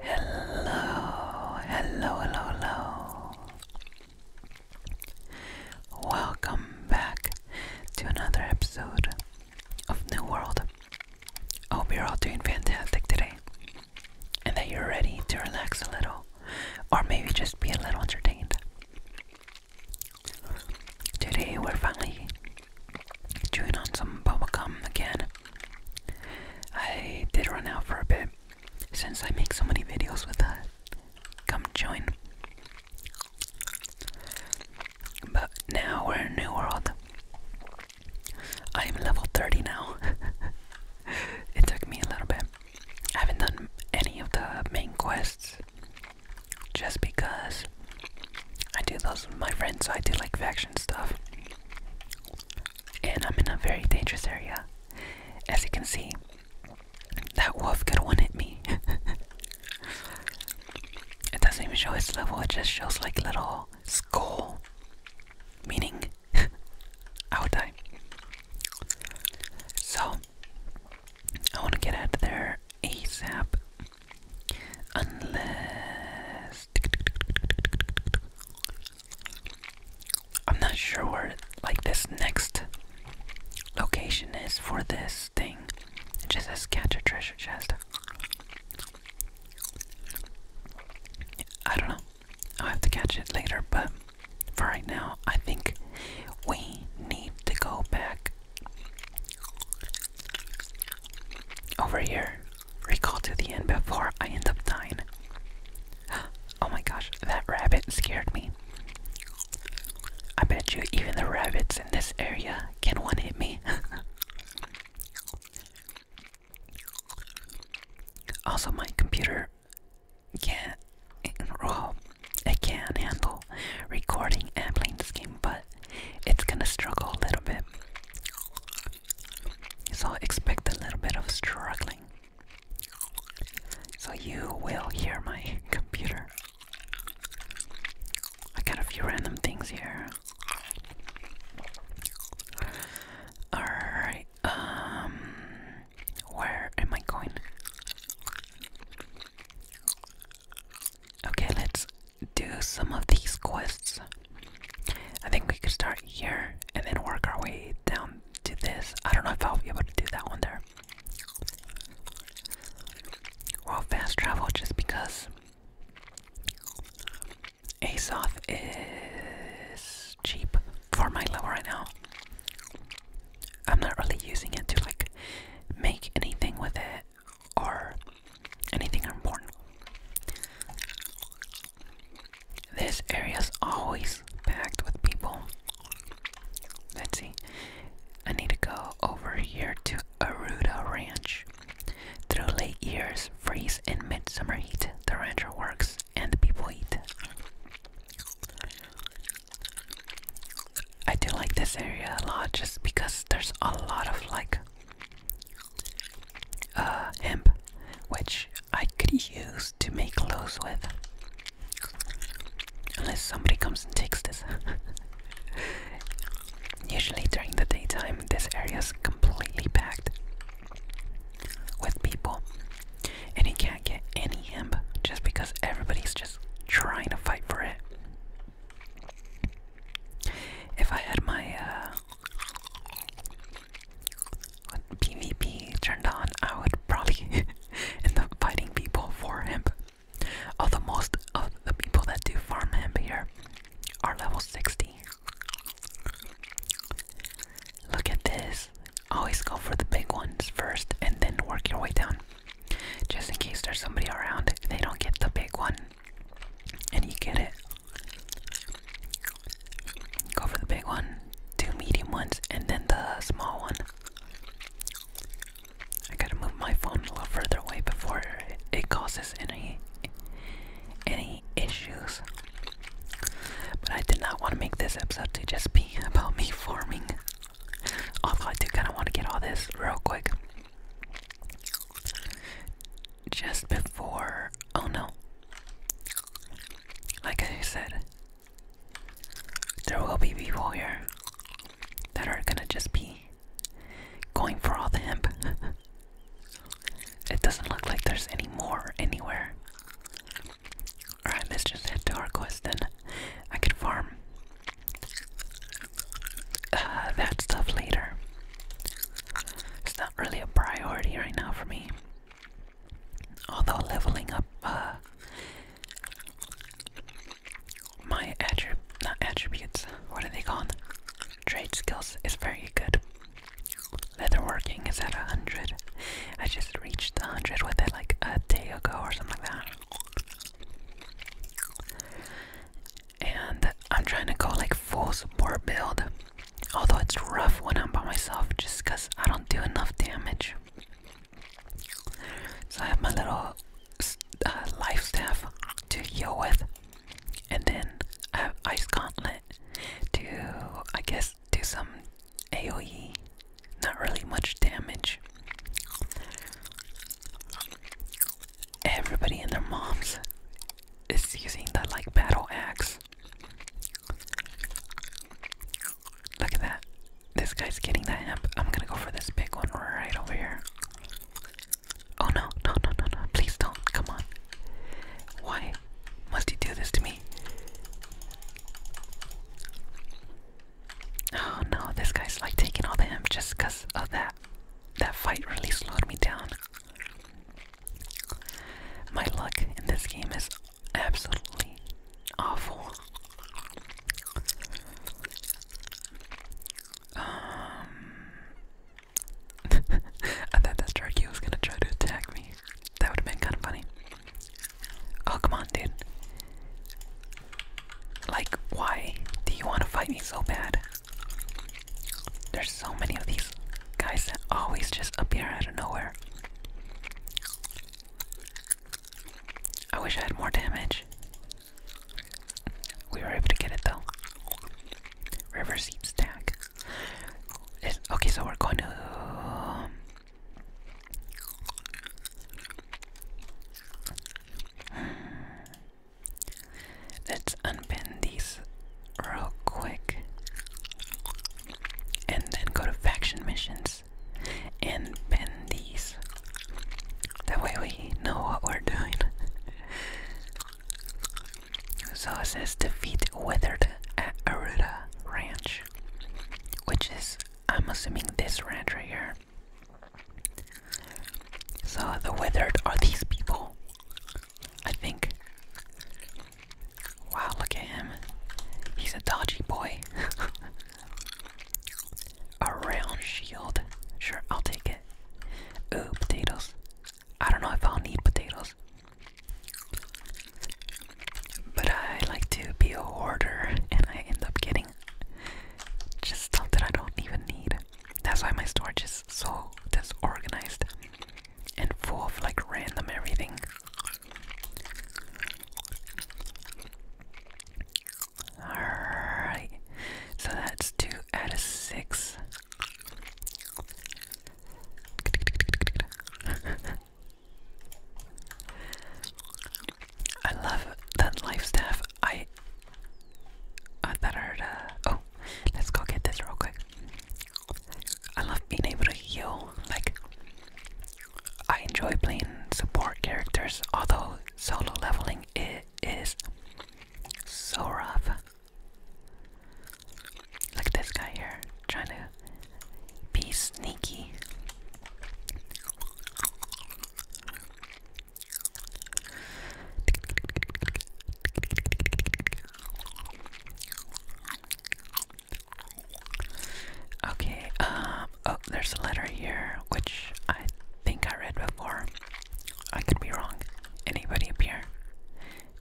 Hello, hello, hello, Welcome back to another episode of New World. I hope you're all doing fantastic today and that you're ready to relax a little or maybe just be a little entertained. Today we're finally chewing on some bubblegum again. I did run out for a bit since I make so many videos with that come join. But now we're in a new world. I am level 30 now. it took me a little bit. I haven't done any of the main quests just because I do those with my friends, so I do like faction stuff. And I'm in a very dangerous area. As you can see, that wolf could one hit me. it doesn't even show its level, it just shows like little skull. Meaning, I So, I want to get out of there ASAP. Unless I'm not sure where like this next location is for this thing. It just says catch a treasure chest. I don't know. I'll have to catch it later, but for right now, I think we need to go back over here. Recall to the end before I end up dying. Oh my gosh, that rabbit scared me. I bet you even the rabbits in this area can one hit me. also, my computer can't, well, it can handle recording and playing the game, but it's gonna struggle a little bit. So expect a little bit of struggling. So you will hear my computer. I got a few random things here. Alright, um, where am I going? Okay, let's do some of these quests. I think we could start here and then work our way down to this. I don't know if I'll be able to do that one there. Well, fast travel just because Asoph is cheap for my level right now. I'm not really using it to like make anything with it or anything important. This area is always packed with people. Let's see. I need to go over here to Aruda Ranch. Through late years, freeze and midsummer heat, the rancher works and the people eat. I do like this area a lot just because there's a lot of like uh, hemp, which I could use to make clothes with. Unless somebody comes and takes this. Usually during the daytime, this area is completely packed with people, and you can't get any hemp just because everybody's just trying to fight for it. If I had my uh, PvP turned on, I would probably end up fighting people for hemp. the most of the people that do farm hemp here are level 60. Look at this. Always go for the big ones first and then work your way down. Just in case there's somebody around, they don't get the big one and you get it. Go for the big one, two medium ones, and then the small one. I gotta move my phone a little further away before it causes any any issues. But I did not want to make this episode to just be about me farming. Although I do kind of want to get all this real quick just before. Oh no. Like I said, there will be people here that are gonna just be going for all the hemp. it doesn't look like there's any more anywhere. Alright, let's just head to our quest then. I could farm uh, that stuff later. It's not really a priority right now for me. Although leveling up uh, my attrib not attributes, what are they called? Trade skills is very good. Leatherworking is at a hundred. I just reached a hundred with it like a day ago or something like that and I'm trying to go like full support build. Although it's rough when I'm by myself just because I don't do enough damage. So I have my little uh, life staff to heal with, and then I have Ice Gauntlet to, I guess, do some AoE. Not really much damage. Everybody and their moms is using the like battle axe. Look at that. This guy's getting that amp. I'm gonna go for this big one right over here. Oh no, no, no, no, no. Please don't. Come on. Why must he do this to me? Oh no, this guy's like taking all the amp just because of that. That fight really slowed me down. My luck in this game is absolutely awful. Um, I thought that Starkey was gonna try to attack me. That would have been kind of funny. Oh, come on, dude. Like, why do you want to fight me so bad? There's so many of these guys that always just appear out of nowhere. I wish I had more damage. We were able to get it though. River seed stack. okay, so we're going to. Um, Let's unpin these real quick. And then go to faction missions and pin these. That way we know what we're doing. so it says defeat Withered at Aruda Ranch. Which is, I'm assuming, this ranch right here. So the Withered are these people. I think. Wow, look at him. He's a dodgy boy. a round shield. Sure, I'll take it. Ooh, potatoes. I don't know if I'll need potatoes. But I like to be a hoarder and I end up getting just stuff that I don't even need. That's why my storage is so disorganized and full of like random everything. Alright, so that's two out of six. I love that life I, I thought uh, Oh, let's go get this real quick. I love being able to heal. Like, I enjoy playing support characters, although solo leveling it is so rough. Like this guy here, trying to be sneaky. Okay, um, oh, there's a letter here, which I think I read before. I could be wrong. Anybody up here?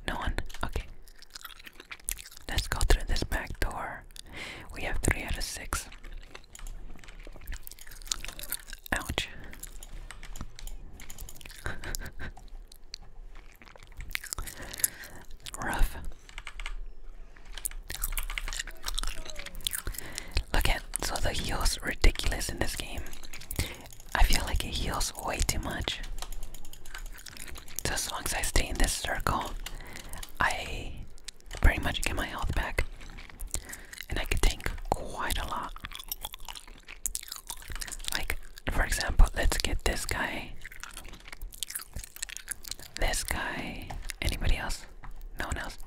No one? Okay. Let's go through this back door. We have three out of six. Ouch. Rough. Look at so the heals ridiculous in this game. I feel like it heals way too much. So as long as I stay in this circle, I pretty much get my health back. And I could tank quite a lot. Like, for example, let's get this guy. This guy. Anybody else? No one else?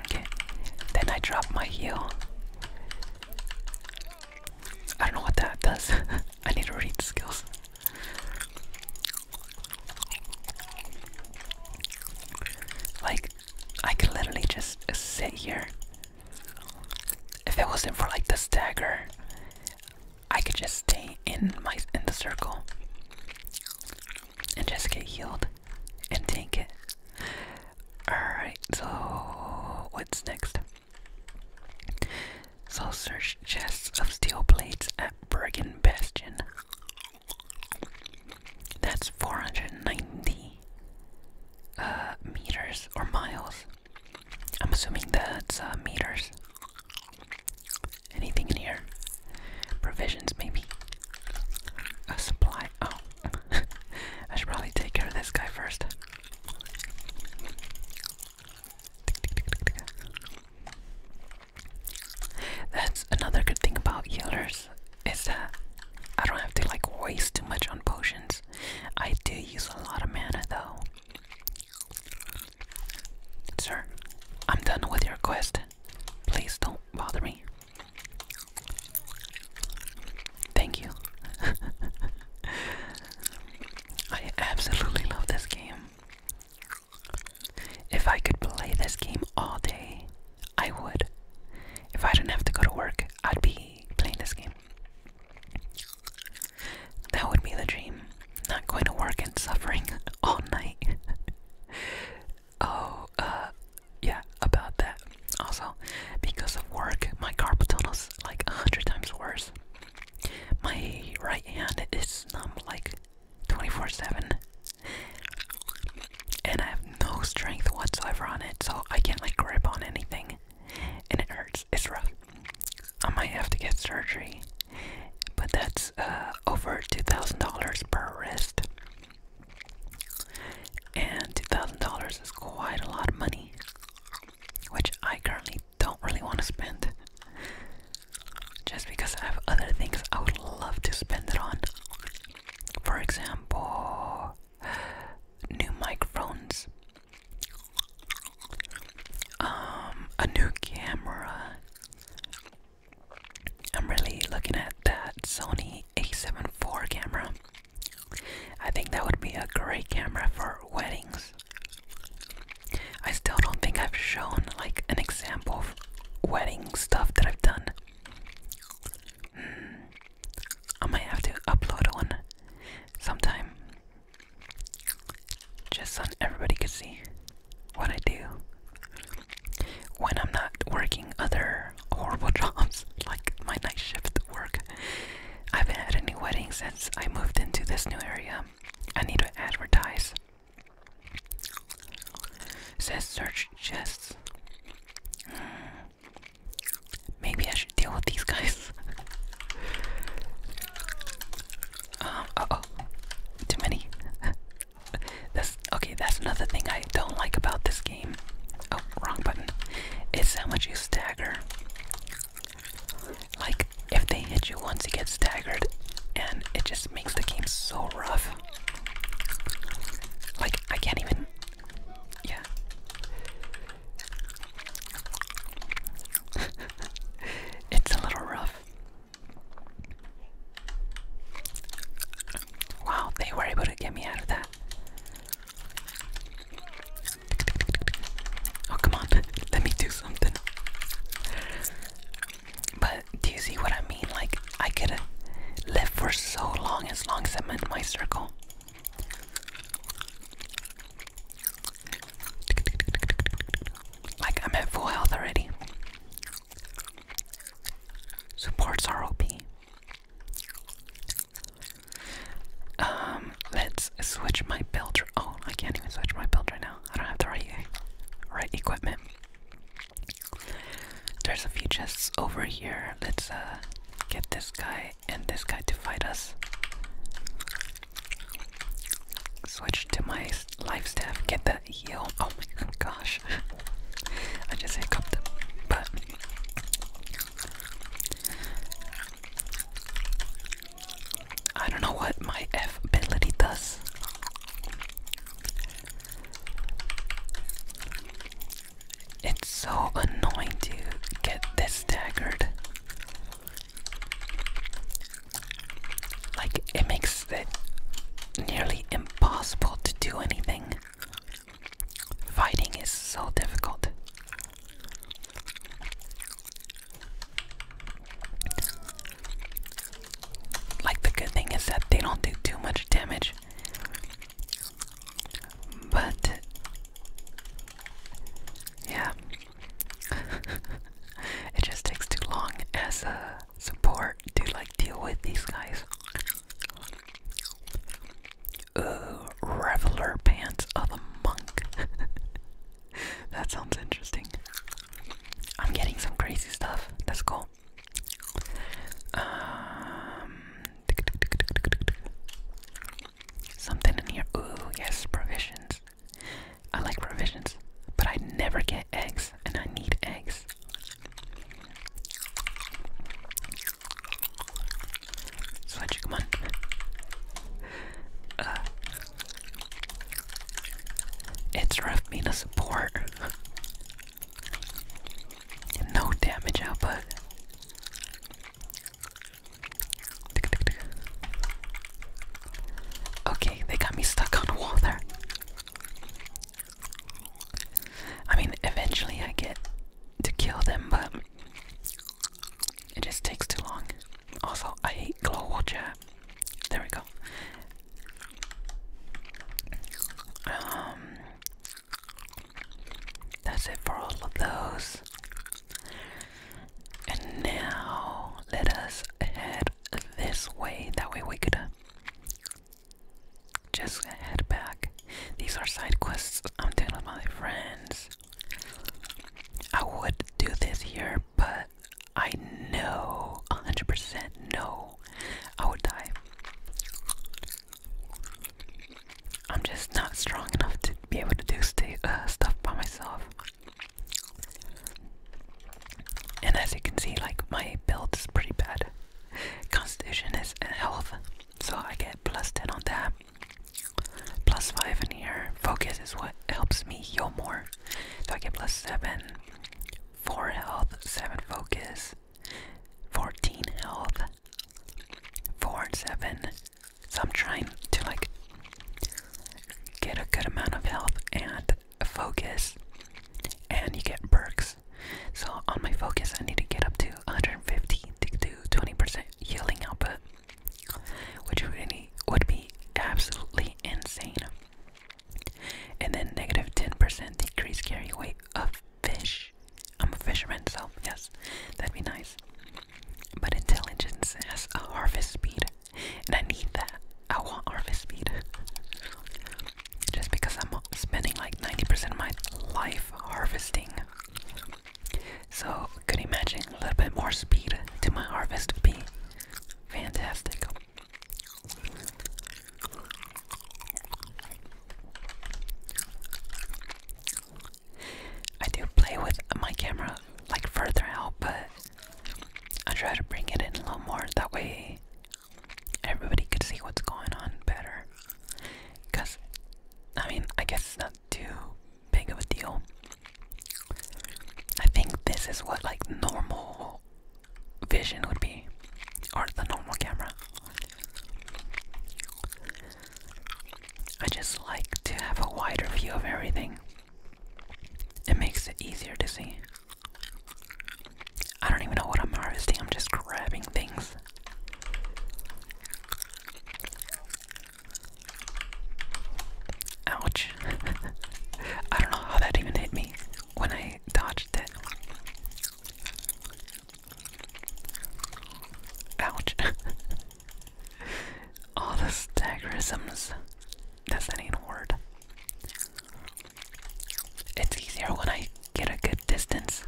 Okay. Then I drop my heel. I don't know what that does. I need to read the skills. Like, I can literally just sit here if it wasn't for like the stagger, I could just stay in my in the circle and just get healed and tank it. Alright, so what's next? So search chests of steel plates at Bergen Bastion. That's 490 uh, meters or miles. I'm assuming that's uh, meters. Anything in here? Provisions, maybe? A supply. Oh, I should probably take care of this guy first. That's another good thing about healers is that I don't have to like waste too much on potions. I do use a lot of mana though. Sir, I'm done with your quest. Please don't bother me. Thank you. I absolutely love this game. If I could play this game all day, I would. If I didn't have to go to work, I'd be playing this game. That would be the dream. Not going to work and suffering all night. oh, uh, yeah, about that. Also, because of work, my carpal tunnel's like a hundred times worse. My right hand is numb like 24 7. And I have no strength whatsoever on it, so I can't like grip on anything and it hurts. It's rough. I might have to get surgery, but that's uh, over two thousand dollars per wrist, and two thousand dollars is quite a lot of money, which I currently don't really want to spend. Just because I have other things I would love to spend it on. For example, new microphones um, a new camera. I'm really looking at that Sony a7 IV camera. I think that would be a great camera for weddings. I still don't think I've shown like an example of wedding stuff that I've done. Hmm. I might have to upload one sometime. Just so everybody could see what I do when I'm not working other horrible jobs like my night shift work. I haven't had any weddings since I moved into this new area. I need to advertise. says search chests. Maybe I should deal with these guys. uh oh. Too many. that's okay, that's another thing I don't like about this game. Oh, wrong button. It's how much you stagger. Like, if they hit you once, you get staggered, and it just makes the game so rough. Like, I can't even. Yeah. it's a little rough. Wow, they were able to get me out of that. Oh, come on, let me do something. But do you see what I mean? Like, I could have lived for so long as long as I'm in my circle. Like, I'm at full health already. Supports are Um, let's switch my build. Oh, I can't even switch my build right now. I don't have the right, right equipment. There's a few chests over here. Let's uh, get this guy and this guy to fight us. Switch to my life staff, get that heal. Oh my gosh. I just hiccuped but I don't know what my ability does. It's so annoying to get this staggered. Like, it makes it nearly impossible to do anything. Fighting is so difficult. Like, the good thing is that they don't do too much damage. But, yeah, it just takes too long as a support to like deal with these guys. Uh, Reveler Pants of a Monk. that sounds interesting. I'm getting some crazy stuff. That's cool. Um, Something in here. Ooh, yes, provisions. I like provisions, but I never get eggs, and I need eggs. Sledge, come on. Uh, it's rough being a support. no damage output. Okay, they got me stuck on the wall there. I mean, eventually I get to kill them, but it just takes too long. Also, I hate glow water. There we go. Um, that's it for all of those. And now let us head this way. That way we could just head back. These are side quests I'm doing with my friends. I would do this here, but I know 100% no, I would die. I'm just not strong enough to be able to do uh, stuff by myself. And as you can see, like my build is pretty bad. Constitution is health, so I get plus 10 on that. Plus 5 in here. Focus is what helps me heal more. So I get plus 7, 4 health, 7 focus, 14 health, 4 and 7, so I'm trying to like get a good amount of health and focus, and you get perks. So on my focus, I need to get up to 150 to do 20% healing output, which really would be absolutely insane. And then negative 10% decrease carry weight of fish. I'm a fisherman, so yes, that'd be nice. But intelligence has a harvest speed, and I need that. I want harvest speed. Just because I'm spending like 90% of my life harvesting. So, could imagine a little bit more speed to my harvest would be fantastic. I do play with my camera like further out, but I try to bring it in a little more. That way, everybody could see what's going on better. Because, I mean, I guess it's not too big of a deal. I think this is what like normal vision would be, or the normal camera. I just like to have a wider view of everything. It makes it easier to see. I don't even know what I'm harvesting, I'm just grabbing things. Ouch. I don't know how that even hit me when I dodged it. Ouch. All the staggerisms. That's not even a word. It's easier when I get a good distance.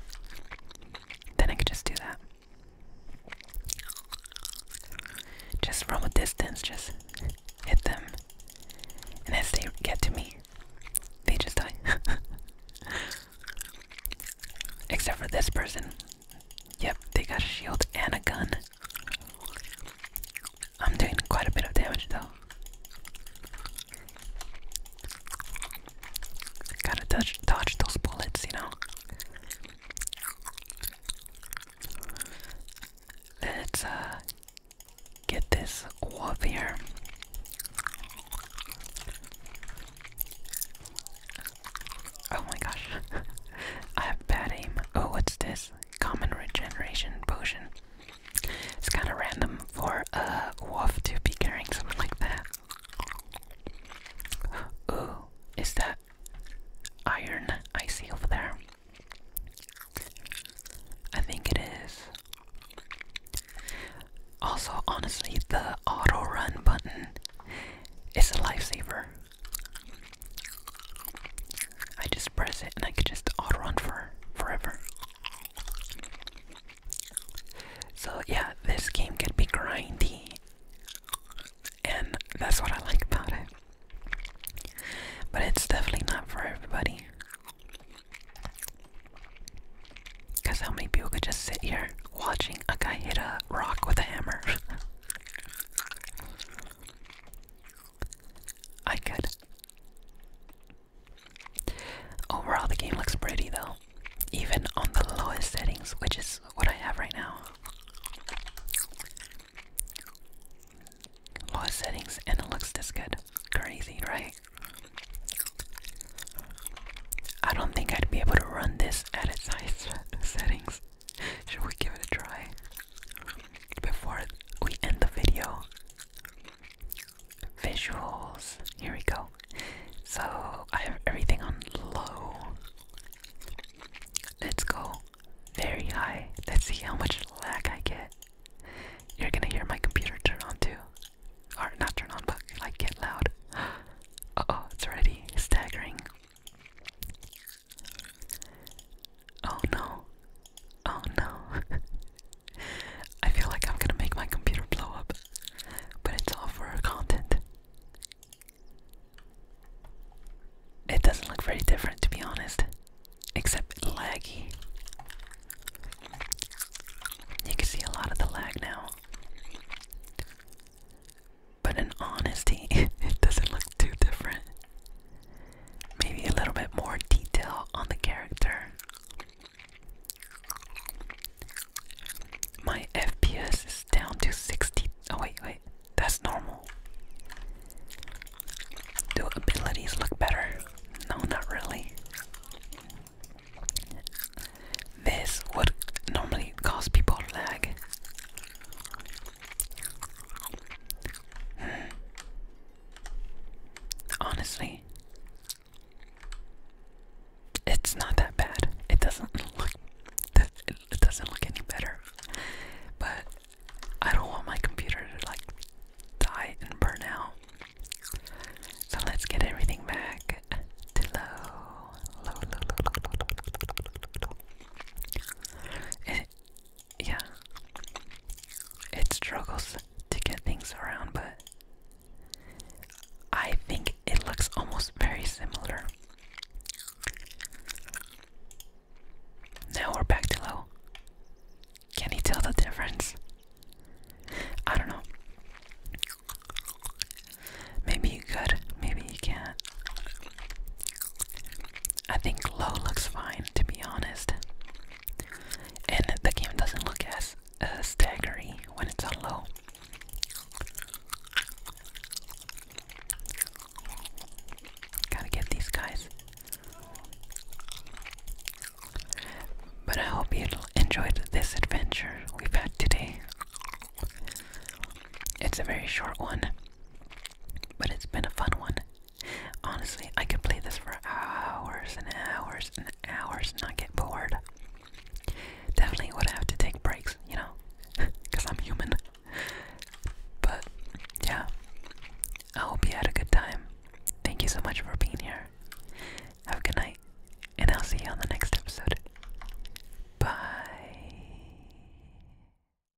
Then I can just do that. Just from a distance, just hit them. And as they get to me, they just die. Except for this person. Yep, they got a shield and a gun. I'm doing quite a bit of damage though. Gotta dodge, dodge those bullets, you know. Let's uh, get this wolf here. Oh my gosh. I have bad aim. Oh, what's this? Common regeneration potion. It's kind of random for a wolf to be carrying something like that. Ooh, is that iron I see over there? I think it is. Also, honestly, the auto run button is a lifesaver. I just press it and I could just auto run for forever. So yeah, this game can be grindy. And that's what I like about it. But it's definitely not for everybody. Because how many people could just sit here watching a guy hit a rock with a hammer? I could. Overall, the game looks pretty though, even on the lowest settings, which is what I have right now. Lowest settings, and it looks this good. Crazy, right? I don't think I'd be able to run this at its highest settings. Should we give it a try? Before we end the video, visuals. Here we go. So I have everything on low. Let's go very high. Let's see how much lag I get. You're gonna hear my computer turn on too. Or not turn on, but like get loud. Uh oh, it's already staggering. Oh no. Oh no. I feel like I'm gonna make my computer blow up, but it's all for our content. It doesn't look very different to be honest, except laggy. You can see a lot of the lag now. But in honesty, it doesn't look too different. Maybe a little bit more detail on the character. My FPS is down to 60. Oh, wait, wait. That's normal. Do abilities look better? No, not really. This would normally cause people lag. Honestly, it's not that bad. It doesn't look it doesn't look any better. But I don't want my computer to like die and burn out. So let's get everything back to low. Low, low, low, low, low, low, low, low, low. It, yeah, it struggles to get things around, but I think it looks almost very similar. Now we're back to low. Can he tell the difference? I don't know. Maybe you could, maybe you can't. I think low looks fine, to be honest. And the game doesn't look as uh, staggery when it's on low. Gotta get these guys. But I hope you enjoyed this adventure we've had today. It's a very short one. But it's been a fun one. Honestly, I could play this for hours and hours and hours and not get bored. Definitely would have to take breaks, you know, because I'm human. But yeah, I hope you had a good time. Thank you so much for being here. Have a good night, and I'll see you on the next episode. Bye.